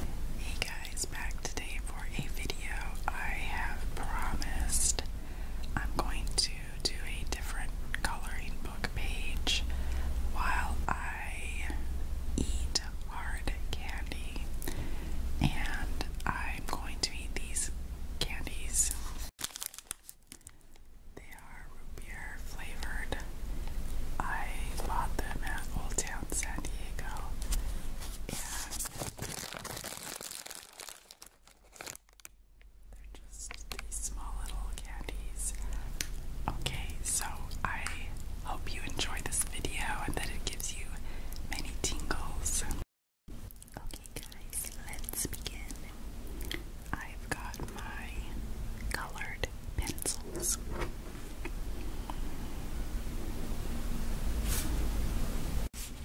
Hey guys, back today for a video. I have promised I'm going to do a different coloring book page while I eat hard candy. And I'm going to eat these candies. They are root beer flavored. I bought them at Old Town San Diego. they're just these small little candies. Okay, so I hope you enjoy this video and that it gives you many tingles. Okay, guys, let's begin. I've got my colored pencils.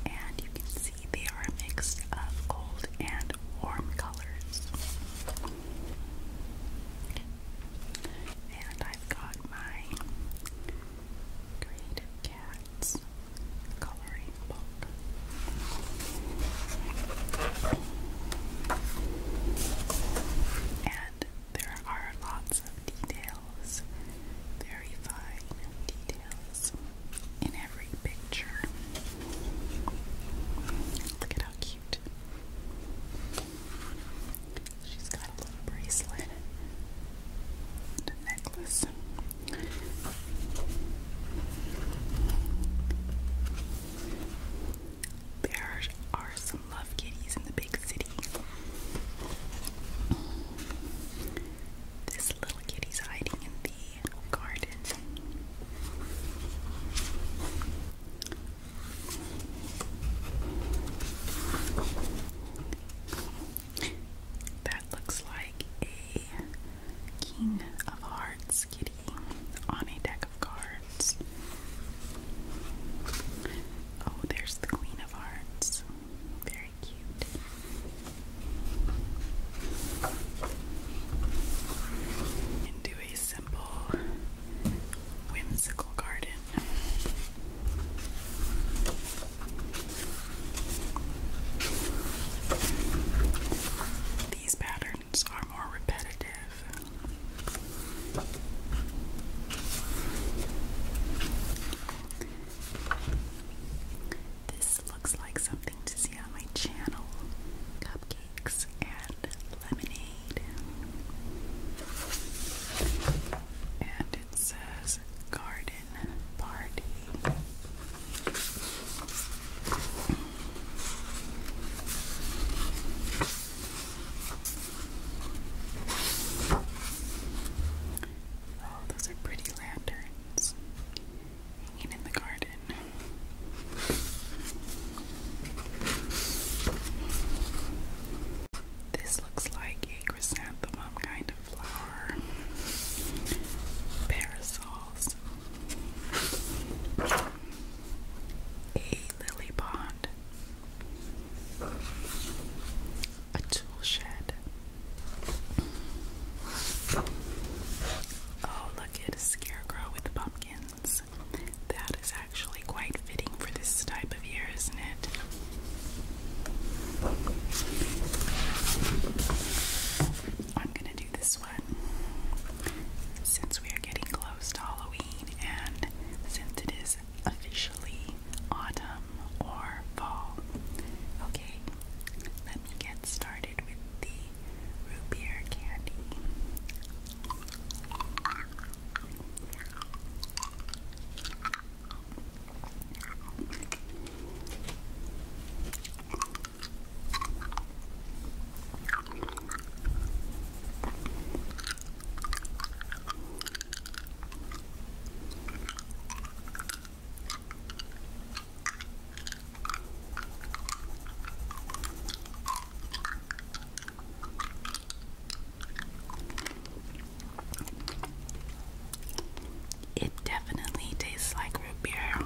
And you can see they are a mix of cold and warm colors. And I've got my Creative Cats coloring book. And there are lots of details, very fine details in every picture. Look at how cute. She's got a little bracelet and necklace there are some love kitties in the big city. This little kitty's hiding in the garden. That looks like a King of Hearts kitty on a deck of cards. Oh, there's the Queen of Hearts. Very cute. And a simple whimsical garden. These patterns are more repetitive this looks like something to see on my channel cupcakes and lemonade. And it says garden party. Oh, those are pretty lanterns hanging in the garden. This looks like a chrysanthemum kind of flower. Parasols. A lily pond a tool shed. Oh, look at a scarecrow with pumpkins. That is actually quite fitting for this type of year, isn't it? I'm gonna do this one since we are getting close to Halloween and since it is officially autumn or fall. Okay, let me get started with the root beer candy. It definitely tastes like root beer.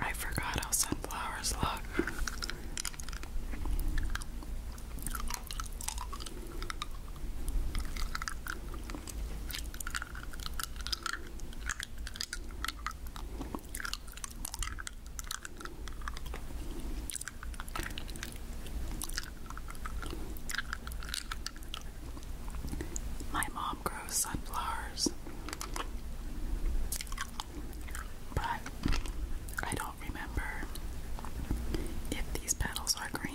I forgot how sunflowers look. My mom grows sunflowers, but I don't remember if these petals are green.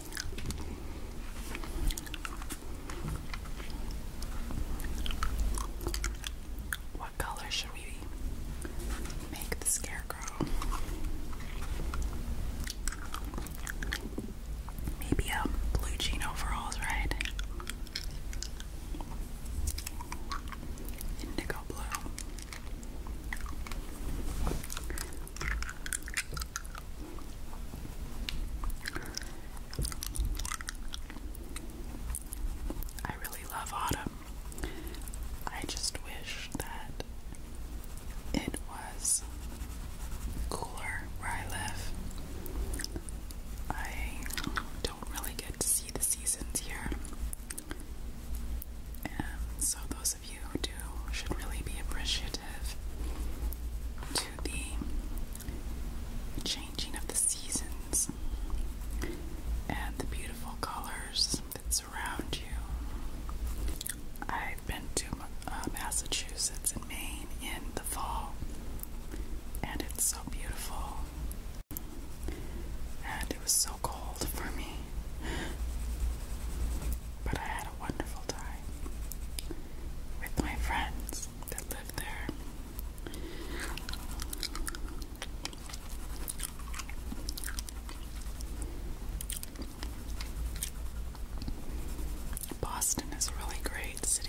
What color should we make the scarecrow? Maybe a um, blue jean overalls, right? Indigo blue. I really love autumn. I just wish that it was cooler where I live. I don't really get to see the seasons here. And so those of you who do should really be appreciative to the changing of the seasons and the beautiful colors that surround you. I've been to uh, Massachusetts and Maine in the fall, and it's so beautiful. And it was so cold for me, but I had a wonderful time with my friends that live there. Boston is a really great city.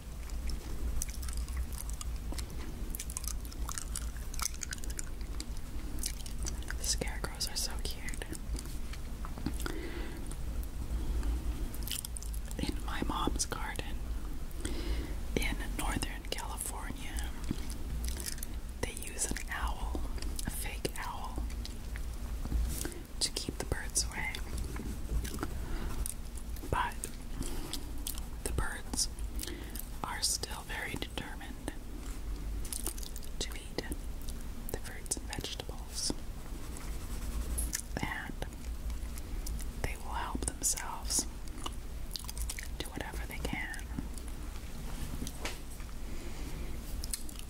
scarecrows are so cute. In my mom's garden in Northern California, they use an owl, a fake owl, to keep the birds away. But the birds are still very determined to eat the fruits and vegetables, and they will help themselves do whatever they can.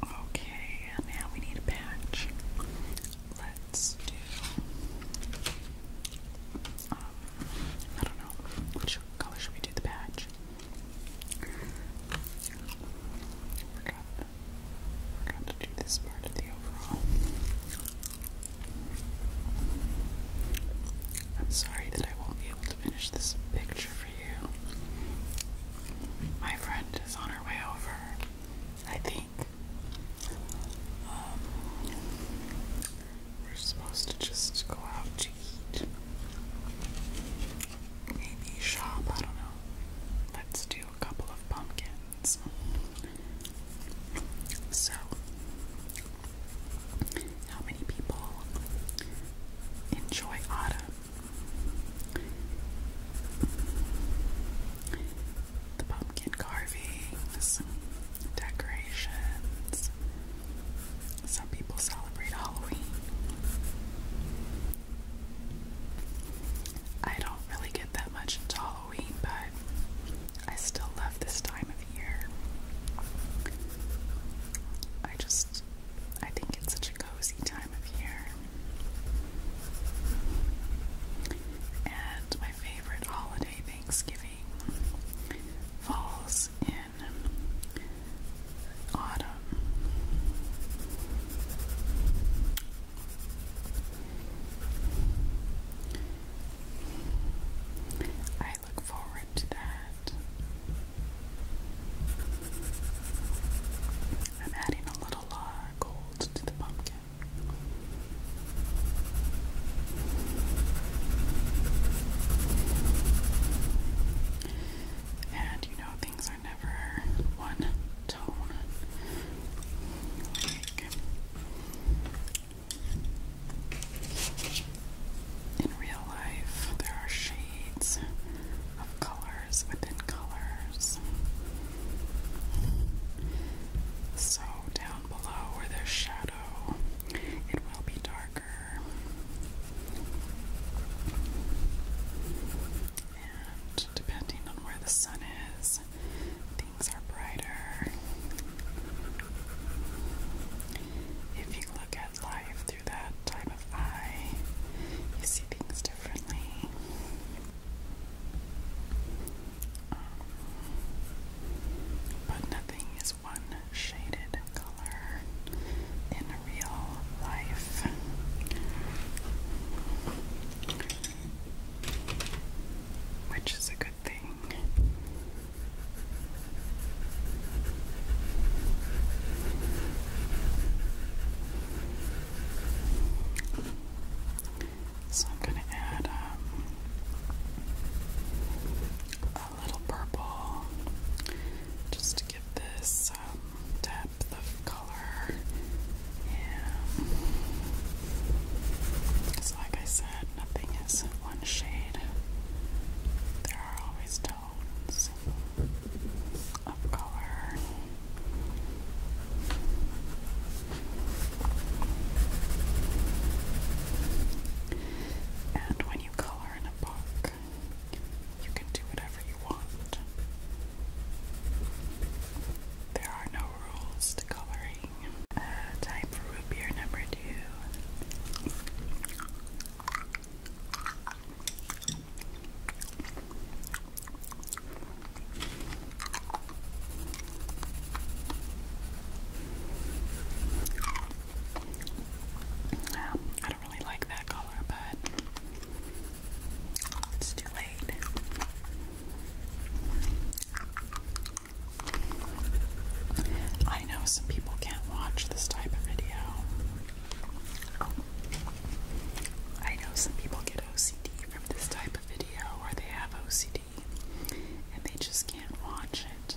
Okay, now we need a patch. Let's do I don't know. Which color should we do the patch? Forgot, forgot to do this part of the overall. I'm sorry that I won't be able to finish this picture for you. My friend is on her way over, I think. Um, we're supposed to just go out to eat. Maybe shop, I don't know. Let's do a couple of pumpkins. So, how many people enjoy autumn? The pumpkin carvings, decorations. Some people celebrate Halloween. I don't really get that much into Halloween, but I still love this time of year. I just, I think it's such a cozy time of year. And my favorite holiday Thanksgiving falls in autumn. I look forward to that. I'm adding a little uh, gold to the pumpkin. And you know, things are never one tone. in real life, there are shades of colors within colors. So, down below where there's shadow, it will be darker. And depending on where the sun is, things are brighter. If you look at life through that type of eye, you see things differently but nothing is one shaded color in real life. Which is a good thing. So I'm going to add um, a little purple just to give this um, depth of color. Yeah. Because, like I said, nothing is one shade, there are always tones of color. And when you color in a book, you can do whatever you want. There are no rules to coloring. Uh, time for root beer number two. I don't really like that color, but it's too late. I know some people can't watch this type of video. I know some people get OCD from this type of video, or they have OCD and they just can't watch it.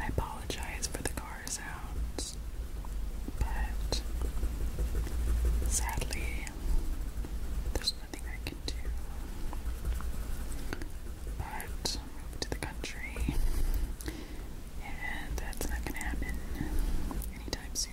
I apologize for the car sounds, but sadly, there's nothing I can do but move to the country, and that's not gonna happen anytime soon.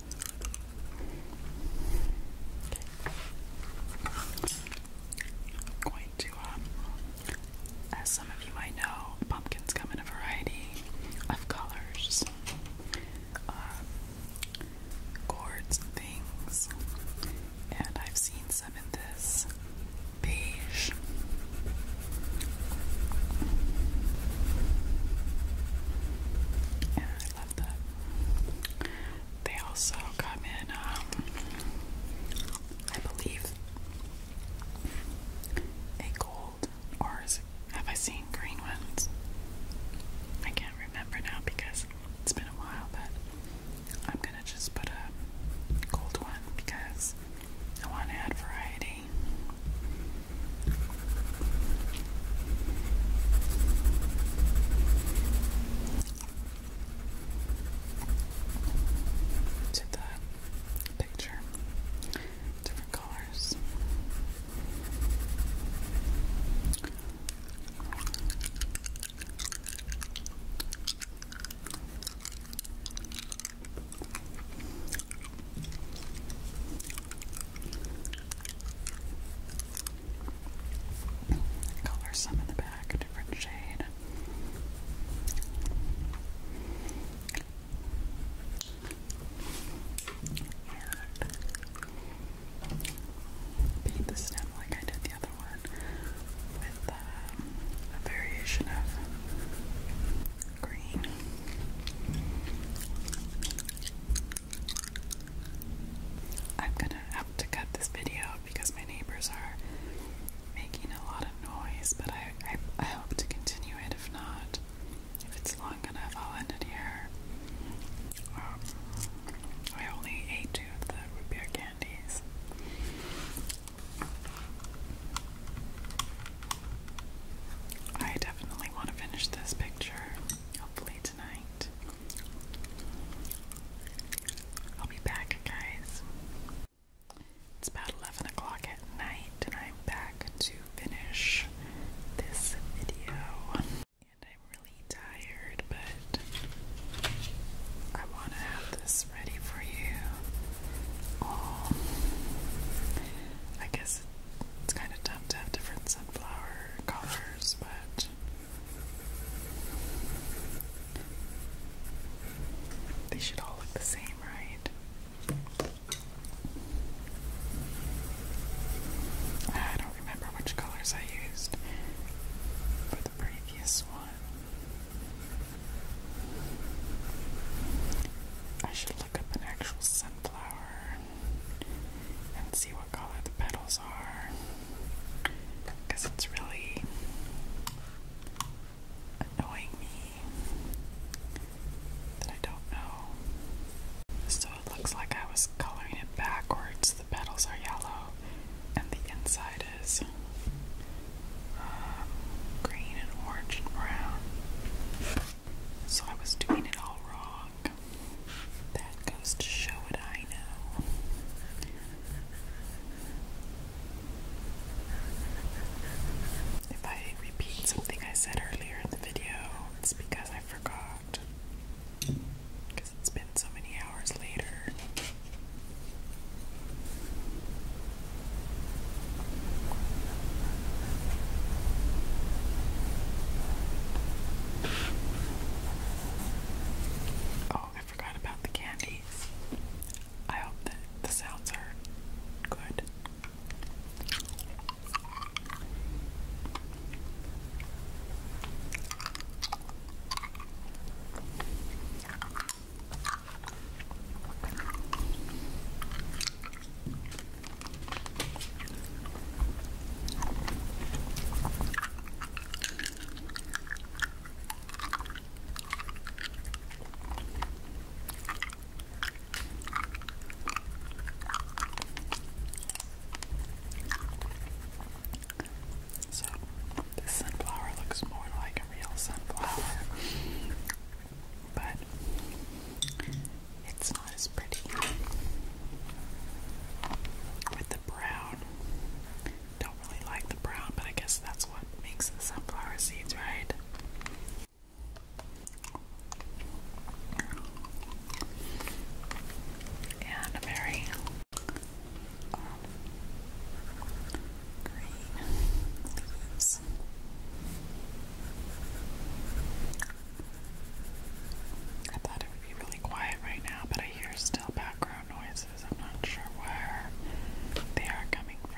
i um, as some of you might know, pumpkins come in a variety of colors, um, gourds, things, and I've seen some in this beige. They also come in, um, I believe, a gold, or have I seen green ones? I can't remember now because it's been a while, but I'm gonna just put a gold one because I want to add variety to the picture, different colors. Color some in the back, different shade. paint the stem like I did the other one with um, a variation of green. I'm gonna have to cut this video because my neighbors are making a lot of noise, but I, I, hope to continue it. If not, if it's long enough, I'll end it here. Um, I only ate two of the root candies. I definitely want to finish this picture. Hopefully tonight. I'll be back, guys. It's about 11 o'clock at night, and I'm back to finish this video. And I'm really tired, but I want to have this ready for you all. Um, I guess it's kind of dumb to have different sunflower color they should all look the same, right? I don't remember which colors I used for the previous one. I should look up an actual scent and see what color the petals are because it's really annoying me that I don't know. So it looks like I was coloring it backwards. The petals are yellow and the inside is um, green and orange and brown. So I was doing it all wrong. That goes to show what I know. If I repeat something I said earlier in the video, it's because I forgot. Because it's been so many hours later. Oh, I forgot about the candies. I hope that the sounds are good. So, this sunflower looks more like a real sunflower, but it's not as pretty with the brown. Don't really like the brown, but I guess that's what makes sunflower seeds, right? And a very um, green I thought it would be really quiet right now, but I hear still background noises. I'm not sure where they are coming from.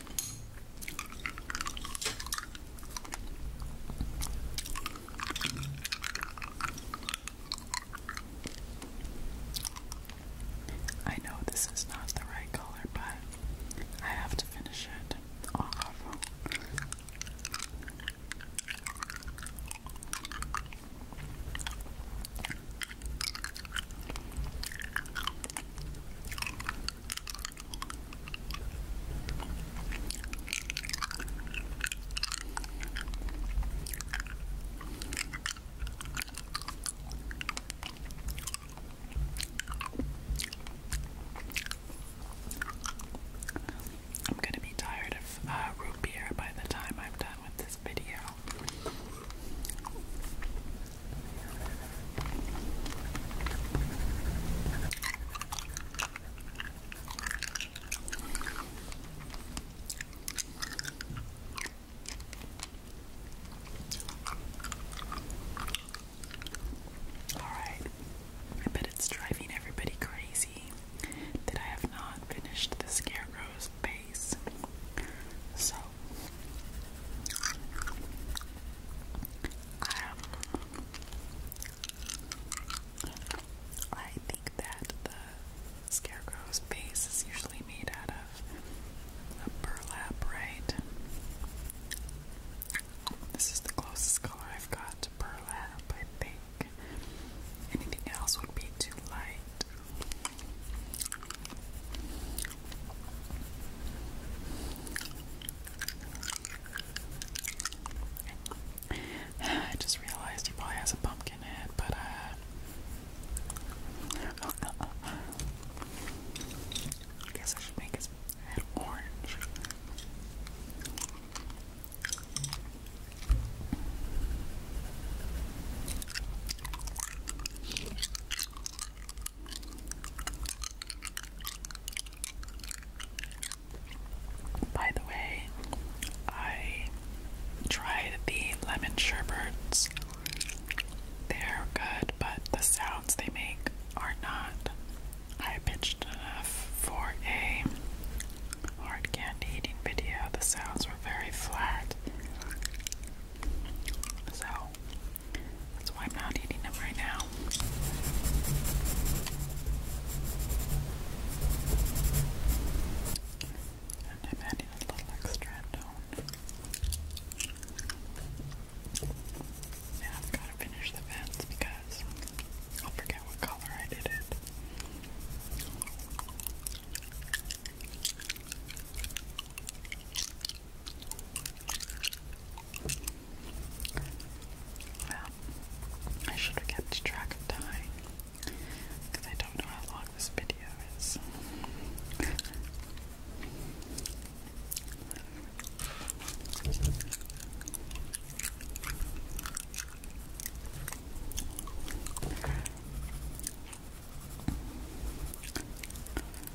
I know this is not the right color, but I have to finish it off. I'm going to be tired of uh, root beer by the time I'm done with this video. Alright, I bet it's driving everybody crazy that I have not finished the scarecrow's base. So I think that the scarecrow's base is usually made out of burlap, right? This is the closest color I've got to burlap, I think. Anything else would be too light. I just realized he probably has a pumpkin head, but uh, I guess I should make his head orange. By the way, I tried the lemon sherbets. They're good, but the sounds they make are not high pitched enough for a hard candy eating video. The sounds were very flat. So that's why I'm not eating them right now. And I'm adding a little extra tone. Now I've got to finish the vents because I'll forget what color I did it. Well, I should have kept track of time because I don't know how long this video is.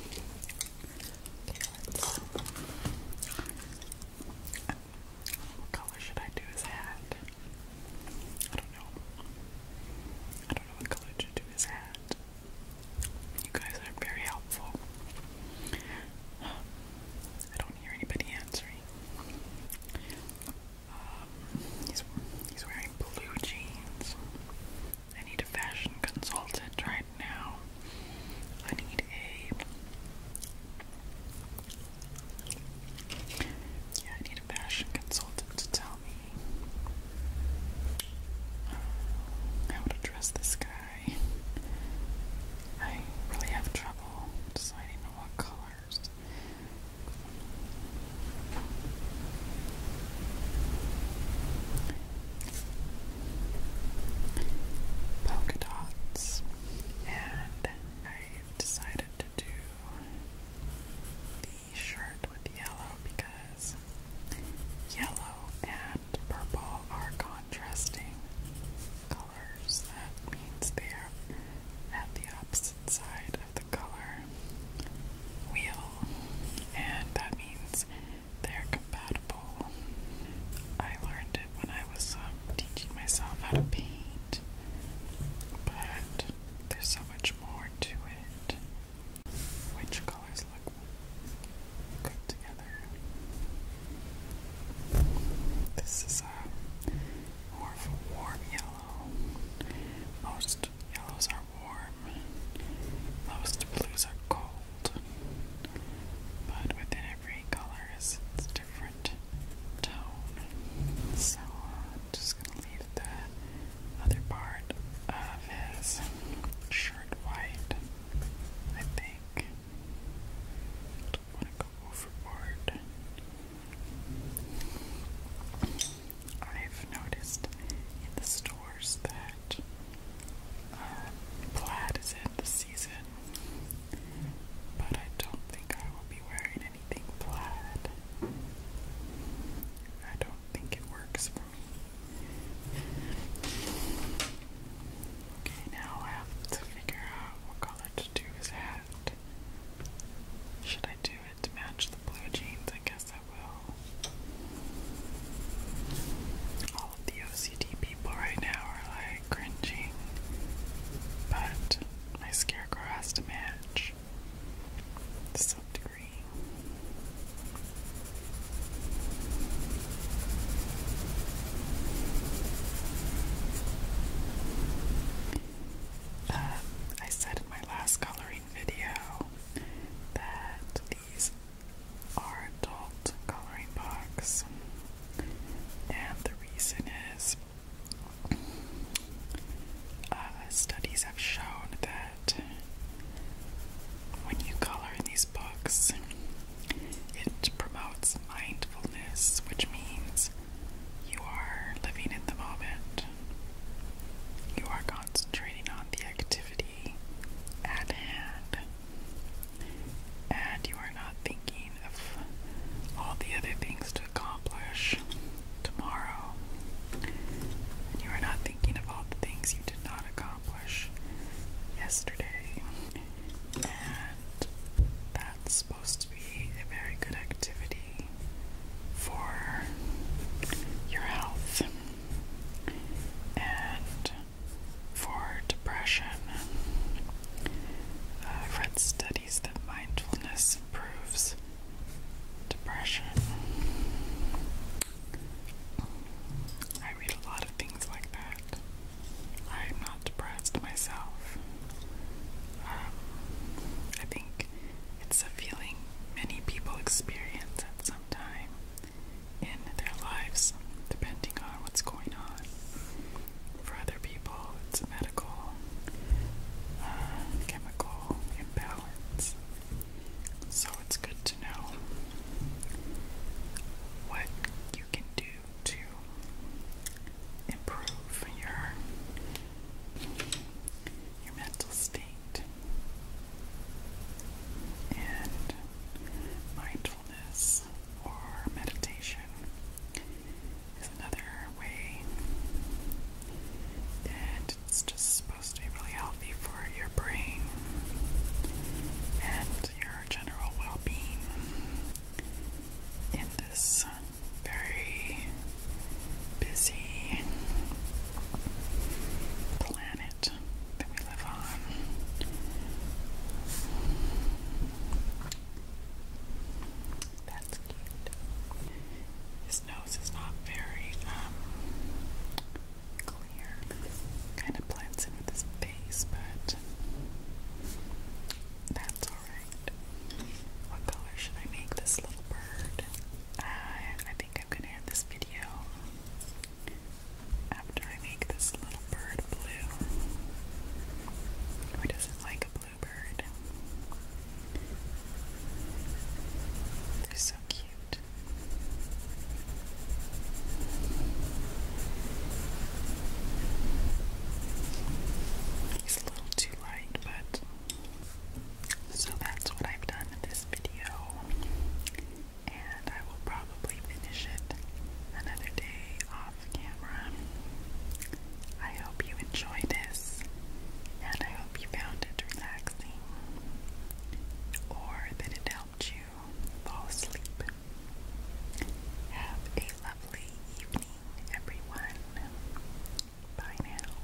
What color should I do his hat? I don't know. I don't know what color to do his hat. You guys are very helpful. I don't hear anybody answering. Um, he's wearing blue jeans. I need a fashion consultant right now. I need a yeah, I need a fashion consultant to tell me how to dress this guy. I really have trouble deciding on what colors polka dots, and I decided to do the shirt with yellow because yellow and purple are contrasting colors. That means they are at the opposite side of color wheel, and that means they're compatible. I learned it when I was um, teaching myself how to paint, but there's so much more to it. Which colors look good together? This is uh, a more warm yellow. Most most yellows are warm, most blues are cold, but within every color its different tone. So I'm just gonna leave the other part of his shirt white, I think. Don't want to go overboard. I've noticed in the stores that uh, plaid is in the season, but I don't think I will be wearing anything plaid. I don't think it works for me. Okay, now I have to figure out what color to do his hat. Should I do to match the blue jeans, I guess I will. All of the OCD people right now are like cringing, but my scarecrow has to match to some degree. Uh, I said in my last color coloring video that these are adult coloring books, and the reason is uh, studies have shown that when you color these books, it promotes mindfulness, which means you are living in the moment. You are concentrating on the activity at hand, and you are not thinking of all the other things to accomplish tomorrow. And you are not thinking of all the things you did not accomplish yesterday. And that's supposed to be a very good activity for your health. And for depression, i studies that mindfulness improves depression. I read a lot of things like that. I'm not depressed myself. Um, I think it's a feeling many people experience at some time in their lives, depending on what's going on. For other people, it's a medical, uh, chemical imbalance. So it's good to know what you can do to improve your your mental state and mindfulness or meditation is another way, and it's just supposed to be really healthy for your brain and your general well being in this very busy planet that we live on. That's cute. His nose is not very um, clear. Kind of blends in with his face, but that's alright. What color should I make this little bird? Uh, I think I'm gonna end this video after I make this little bird blue. Who doesn't like a blue bird? They're so cute. He's a little too light, but so that's what I've done in this video, and I will probably finish it another day off camera. I hope you enjoyed this, and I hope you found it relaxing, or that it helped you fall asleep. Have a lovely evening, everyone. Bye now.